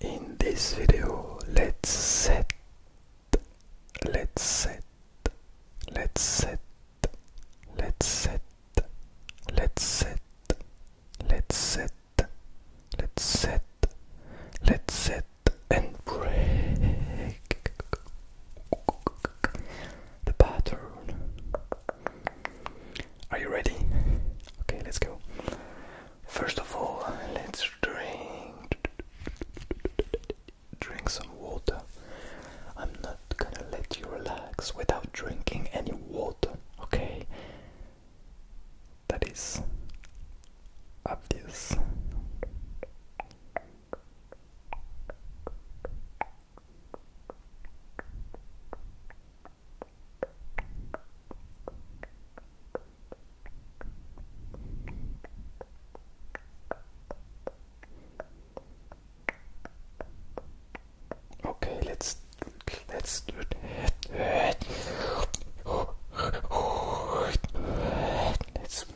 In this video, let's set, let's set, let's set, let's set, let's set, let's set, let's set, let's set and break the pattern. Are you ready? Okay, let's go. First of all, let's drink drink some water. I'm not gonna let you relax without drinking any water, okay? That is obvious. Okay, let's let's do it. Let's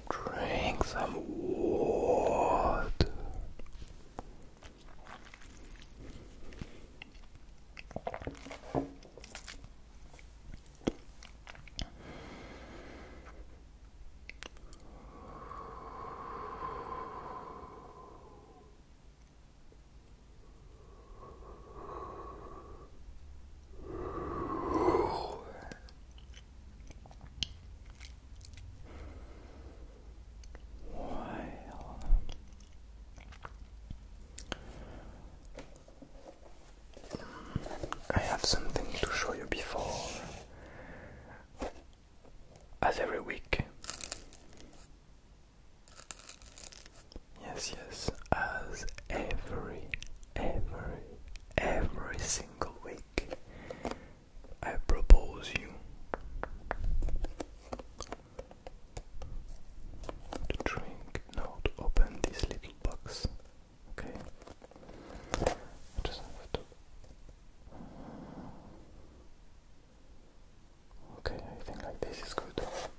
drink some water. While I have something to show you before, as every week. Yes, yes, as every, every, every single week, I propose you the drink. Now to open this little box. Okay. just have to Okay, I like this is good. Okay.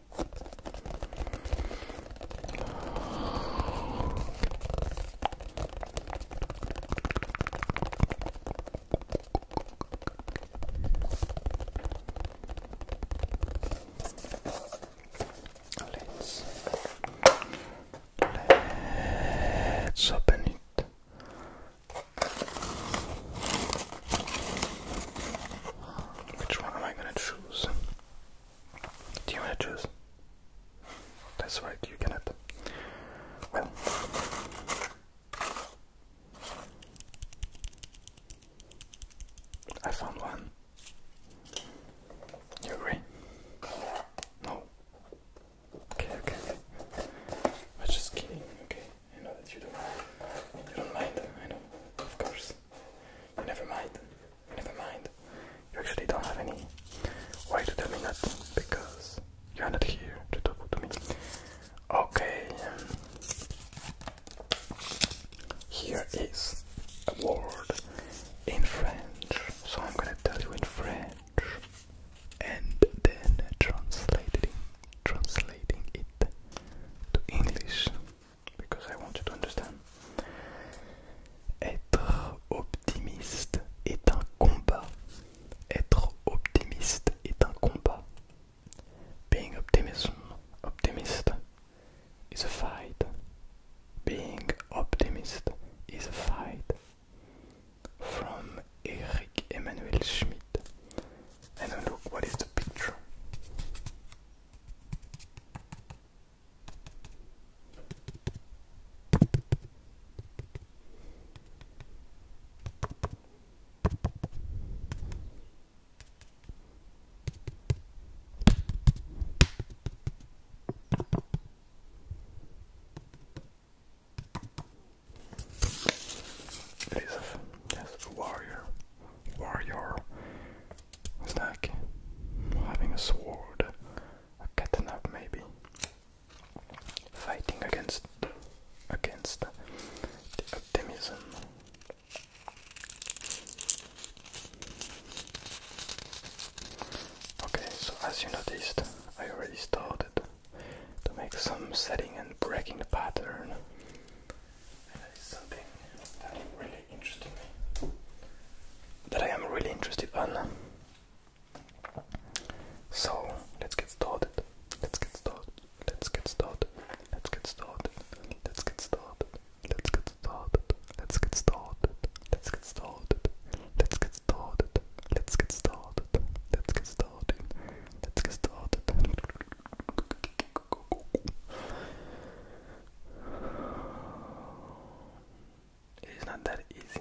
Let's let's open it. Which one am I gonna choose? Do you want to choose? That's right, you cannot. Well. I found one. You agree? No. Okay, okay. I'm just kidding, okay? I know that you don't you don't mind, I know. Of course. never mind. Never mind. You actually don't have any. Why to tell me that? Because you are not here to talk to me. Okay. Um, here is a word in French. So I'm gonna tell you in French and then translating translating it to English. because I want you to understand. Être optimiste est un combat. Être optimiste est un combat. Being optimism, optimist is a fight. Being optimist is a fight. From Eric Emmanuel Schmidt. And look what is the picture. Elizabeth, yes, warrior, warrior, it's like having a sword, a katana maybe, fighting against against the optimism. Okay, so as you noticed, I already started to make some setting and breaking the pattern and that is something that really interested me, that I am really interested on. So let's get started. Let's get started. Let's get started. Let's get started. Let's get started. Let's get started. Let's get started. Let's get started. Let's get started. Let's get started. Let's get started. Let's get started. It is not that easy.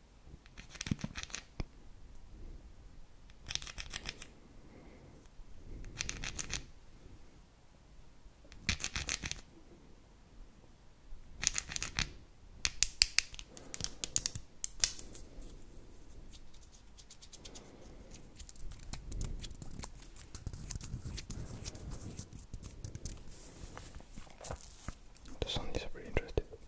The sound is really interesting.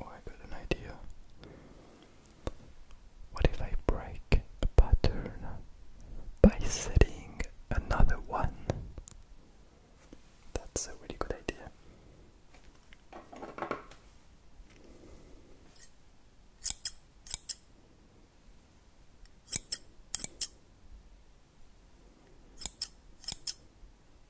Oh, I got an idea. What if I break a pattern by setting another one? That's a really good idea.